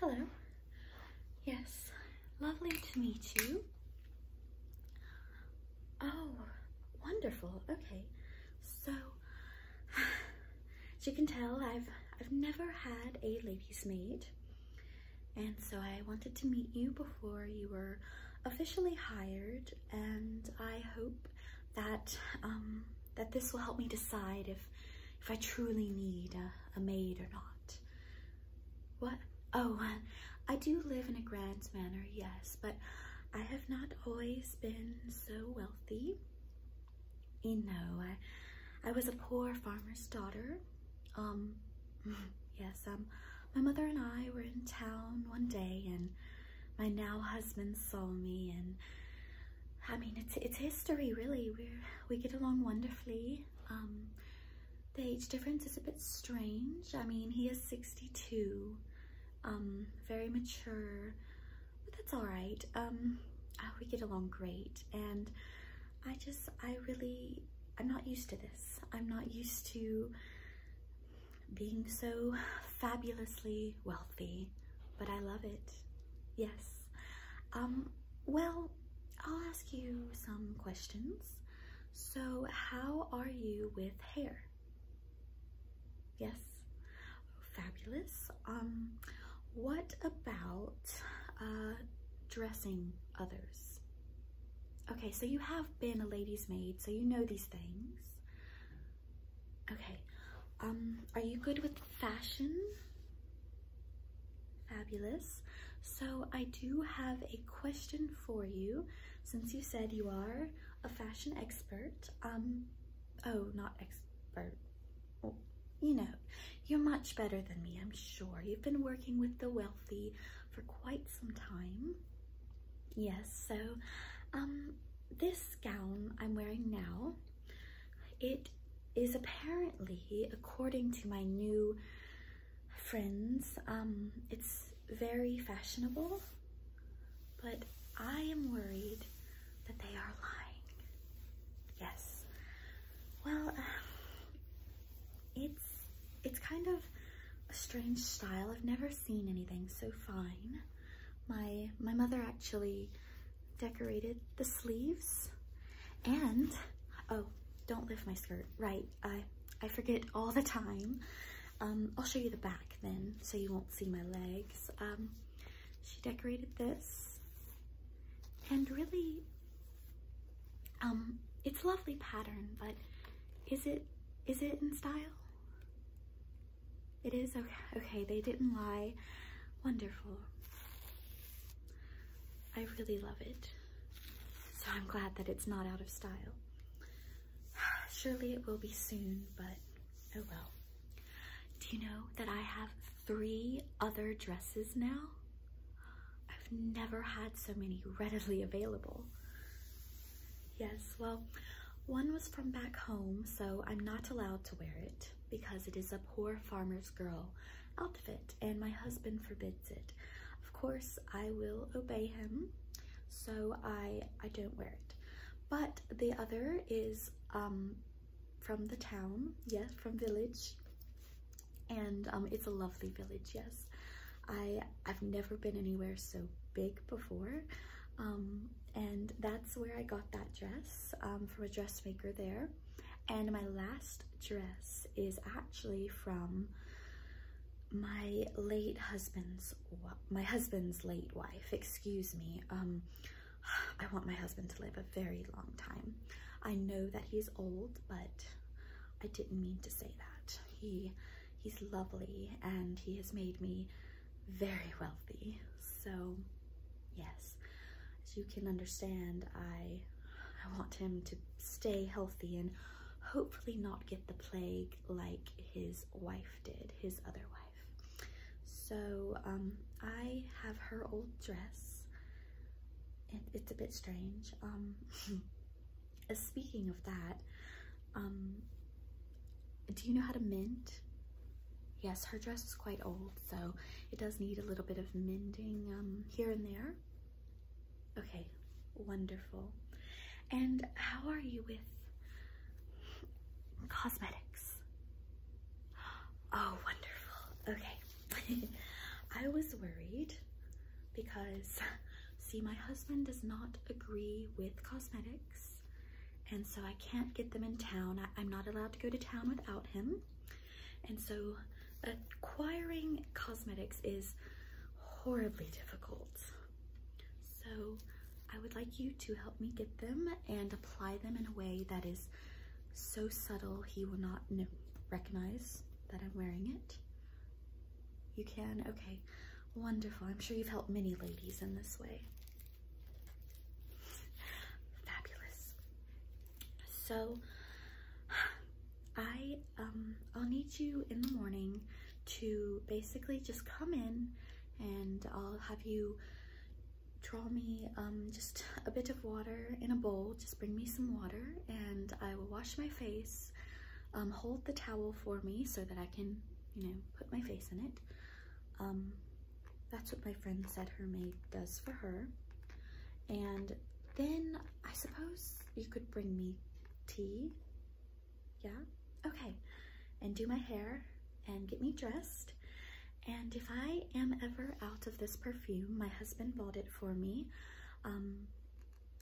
Hello. Yes, lovely to meet you. Oh, wonderful. Okay. So, as you can tell, I've I've never had a lady's maid. And so I wanted to meet you before you were officially hired and I hope that um, that this will help me decide if if I truly need a, maid or not. What? Oh, I do live in a grand manner, yes, but I have not always been so wealthy. You know, I I was a poor farmer's daughter. Um, yes, I'm. Um, my mother and I were in town one day, and my now husband saw me, and I mean, it's it's history, really. We we get along wonderfully. Um, the age difference is a bit strange. I mean, he is 62, um, very mature, but that's all right. Um, oh, we get along great, and I just, I really, I'm not used to this. I'm not used to being so fabulously wealthy, but I love it. Yes. Um, well, I'll ask you some questions. So how are you with hair? Yes. Fabulous. Um, what about uh, dressing others? Okay, so you have been a lady's maid, so you know these things. Okay, um, are you good with fashion? Fabulous. So I do have a question for you, since you said you are a fashion expert. Um, oh, not expert. you know, you're much better than me, I'm sure. You've been working with the wealthy for quite some time. Yes, so um, this gown I'm wearing now, it is apparently, according to my new friends, um, it's very fashionable, but I am worried that they are lying. Yes. Well, um, it it's kind of a strange style. I've never seen anything so fine. My my mother actually decorated the sleeves and oh don't lift my skirt right I I forget all the time um, I'll show you the back then so you won't see my legs um, she decorated this and really um, it's lovely pattern but is it is it in style? It is? Okay, okay they didn't lie. Wonderful. I really love it. So I'm glad that it's not out of style. Surely it will be soon, but oh well. Do you know that I have three other dresses now? I've never had so many readily available. Yes, well, one was from back home, so I'm not allowed to wear it because it is a poor farmer's girl outfit and my husband forbids it. Of course, I will obey him, so I, I don't wear it. But the other is um, from the town, yes, from village, and um, it's a lovely village, yes. I I've never been anywhere so big before, um, and that's where I got that dress um, from a dressmaker there. And my last dress is actually from my late husband's my husband's late wife. Excuse me. Um, I want my husband to live a very long time. I know that he's old, but I didn't mean to say that. He He's lovely and he has made me very wealthy. So yes, as you can understand, I, I want him to stay healthy and hopefully not get the plague like his wife did, his other wife. So um, I have her old dress. it's a bit strange. Um, Uh, speaking of that, um, do you know how to mint? Yes, her dress is quite old, so it does need a little bit of mending um, here and there. Okay, wonderful. And how are you with cosmetics? Oh, wonderful. Okay. I was worried because See, my husband does not agree with cosmetics, and so I can't get them in town. I, am not allowed to go to town without him. And so acquiring cosmetics is horribly difficult. So I would like you to help me get them and apply them in a way that is so subtle he will not recognize that I'm wearing it. You can? Okay. Wonderful. I'm sure you've helped many ladies in this way. Fabulous. So, I, um, I'll need you in the morning to basically just come in and I'll have you draw me um, just a bit of water in a bowl. Just bring me some water and I will wash my face. Um, hold the towel for me so that I can, you know, put my face in it. Um, that's what my friend said her maid does for her. And then I suppose you could bring me tea. Yeah? Okay. And do my hair and get me dressed. And if I am ever out of this perfume, my husband bought it for me. Um,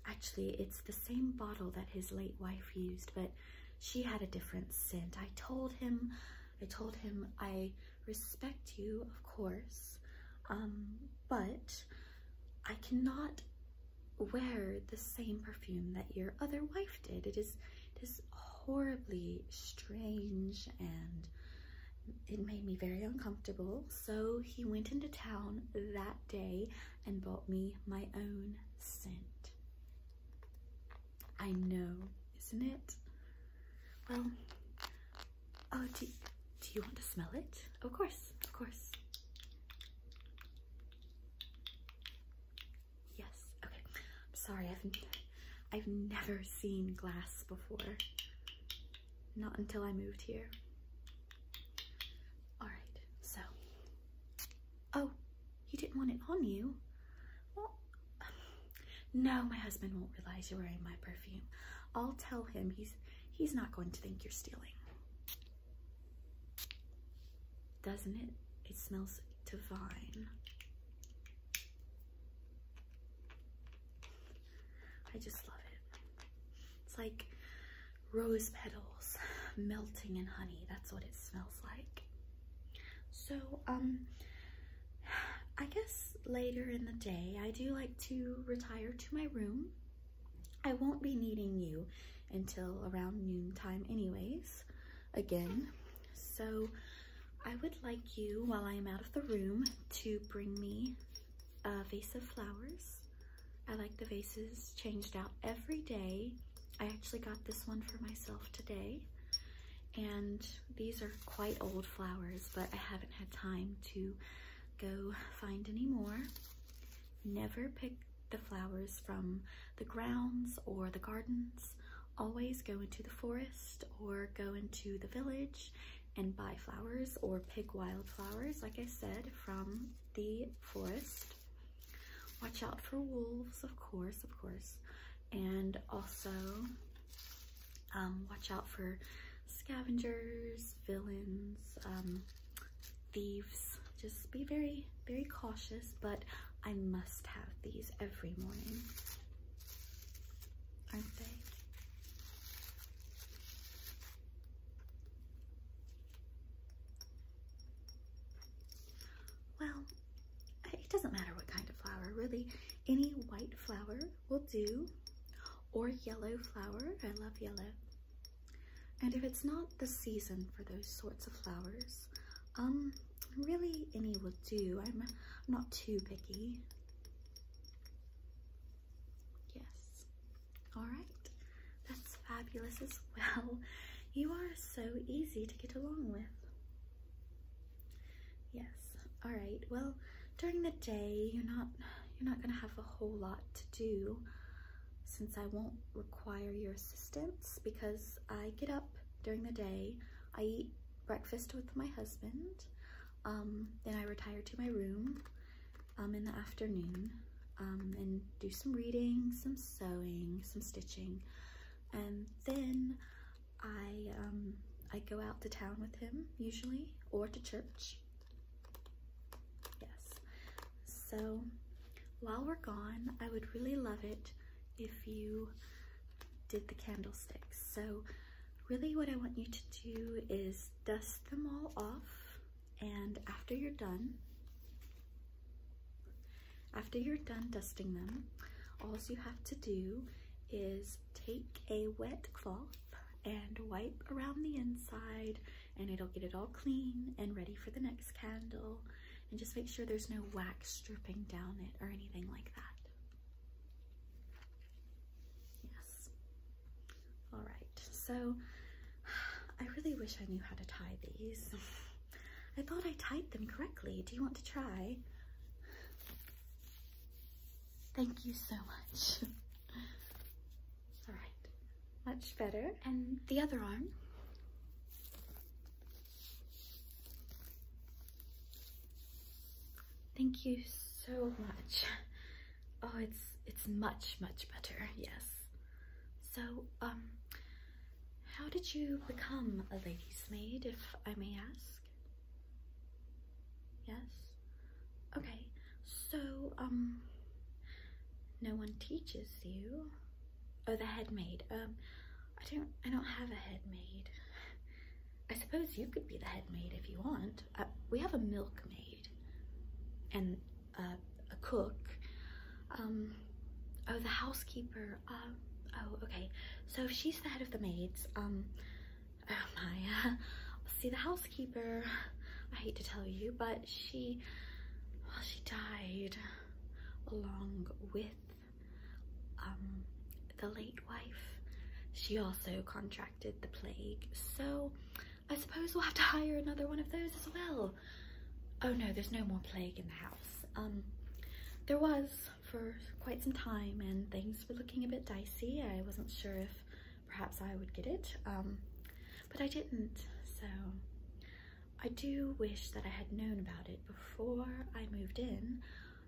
Actually, it's the same bottle that his late wife used, but she had a different scent. I told him, I told him, I respect you, of course, um, but I cannot wear the same perfume that your other wife did. It is, it is horribly strange and it made me very uncomfortable. So he went into town that day and bought me my own scent. I know, isn't it? Well, oh, do, do you want to smell it? Of course, of course. Yes, okay. I'm sorry, I've, I've never seen glass before. Not until I moved here. Alright, so. Oh, you didn't want it on you? Well, no, my husband won't realize you're wearing my perfume. I'll tell him he's he's not going to think you're stealing. Doesn't it? It smells divine. I just love it. It's like rose petals melting in honey. That's what it smells like. So, um, I guess later in the day, I do like to retire to my room. I won't be needing you until around noontime anyways, again. So I would like you, while I am out of the room, to bring me a vase of flowers. I like the vases changed out every day. I actually got this one for myself today. And these are quite old flowers, but I haven't had time to go find any more. Never pick the flowers from the grounds or the gardens. Always go into the forest or go into the village and buy flowers or pick wildflowers, like I said, from the forest. Watch out for wolves, of course, of course. And also um, watch out for scavengers, villains, um, thieves. Just be very, very cautious, but I must have these every morning. Aren't they? Well, it doesn't matter what kind of flower, really. Any white flower will do, or yellow flower. I love yellow. And if it's not the season for those sorts of flowers, um, really any will do. I'm not too picky. Yes. All right. That's fabulous as well. You are so easy to get along with. Yes. All right. Well, during the day, you're not you're not going to have a whole lot to do since I won't require your assistance because I get up during the day. I eat breakfast with my husband. Um, then I retire to my room um, in the afternoon um, and do some reading, some sewing, some stitching. And then I, I go out to town with him usually or to church. Yes. So while we're gone, I would really love it if you did the candlesticks. So really what I want you to do is dust them all off and after you're done, after you're done dusting them, all you have to do is take a wet cloth and wipe around the inside and it'll get it all clean and ready for the next candle and just make sure there's no wax dripping down it or anything like that. Yes. All right, so I really wish I knew how to tie these. I thought I tied them correctly. Do you want to try? Thank you so much. All right, much better. And the other arm. Thank you so much. Oh, it's it's much, much better, yes. So, um, how did you become a lady's maid, if I may ask? Yes? Okay, so, um, no one teaches you? Oh, the head maid. Um, I don't, I don't have a head maid. I suppose you could be the head maid if you want we have a milkmaid and a cook. Um, oh, the housekeeper. Um, oh, okay. So she's the head of the maids. Um, oh my. see, the housekeeper, I hate to tell you, but she, well, she died along with um, the late wife. She also contracted contracted the plague, so I suppose we'll have to hire another one of those as well. Oh no, there's no more plague in the house. Um, there was for quite some time and things were looking a bit dicey. I wasn't sure if perhaps I would get it, um, but I didn't, so I do wish that I had known about it before I moved in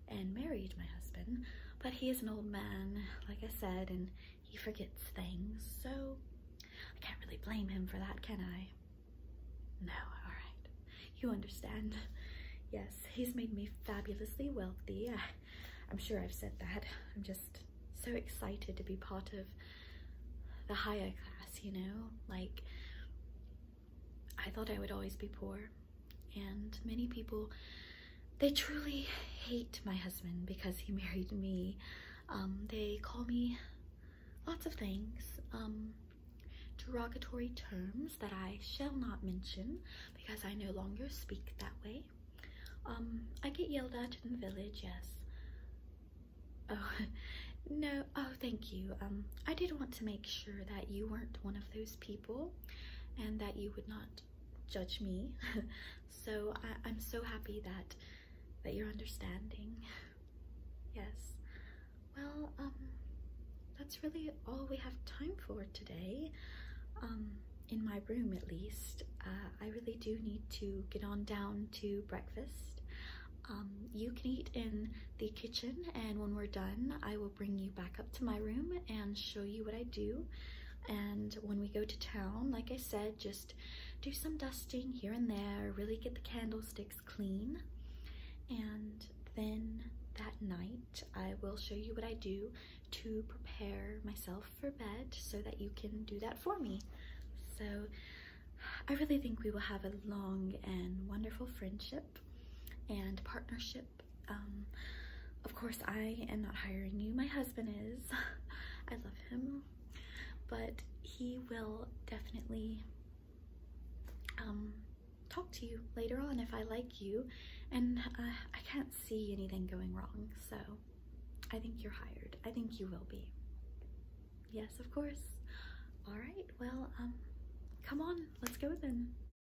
and married my husband, but he is an old man, like I said, and he forgets things, so I can't really blame him for that, can I? No, all right. You understand. Yes, he's made me fabulously wealthy. I, I'm sure I've said that. I'm just so excited to be part of the higher class, you know? Like, I thought I would always be poor. And many people, they truly hate my husband because he married me. Um, they call me lots of things, um, derogatory terms that I shall not mention because I no longer speak that way. Um, I get yelled at in the village, yes. Oh, no, oh, thank you. I did want to make sure that you weren't one of those people and that you would not judge me. so I, am so happy that that you're understanding. yes. Well, um, that's really all we have time for today. Um, in my room at least. Uh, I really do need to get on down to breakfast. Um, you can eat in the kitchen and when we're done, I will bring you back up to my room and show you what I do. And when we go to town, like I said, just do some dusting here and there, really get the candlesticks clean. And then that night, I will show you what I do to prepare myself for bed so that you can do that for me. So I really think we will have a long and wonderful friendship and partnership um, of course, I am not hiring you. My husband is. I love him. But he will definitely um, talk to you later on if I like you. And uh, I can't see anything going wrong. So I think you're hired. I think you will be. Yes, of course. All right. Well, um, come on. Let's go with then.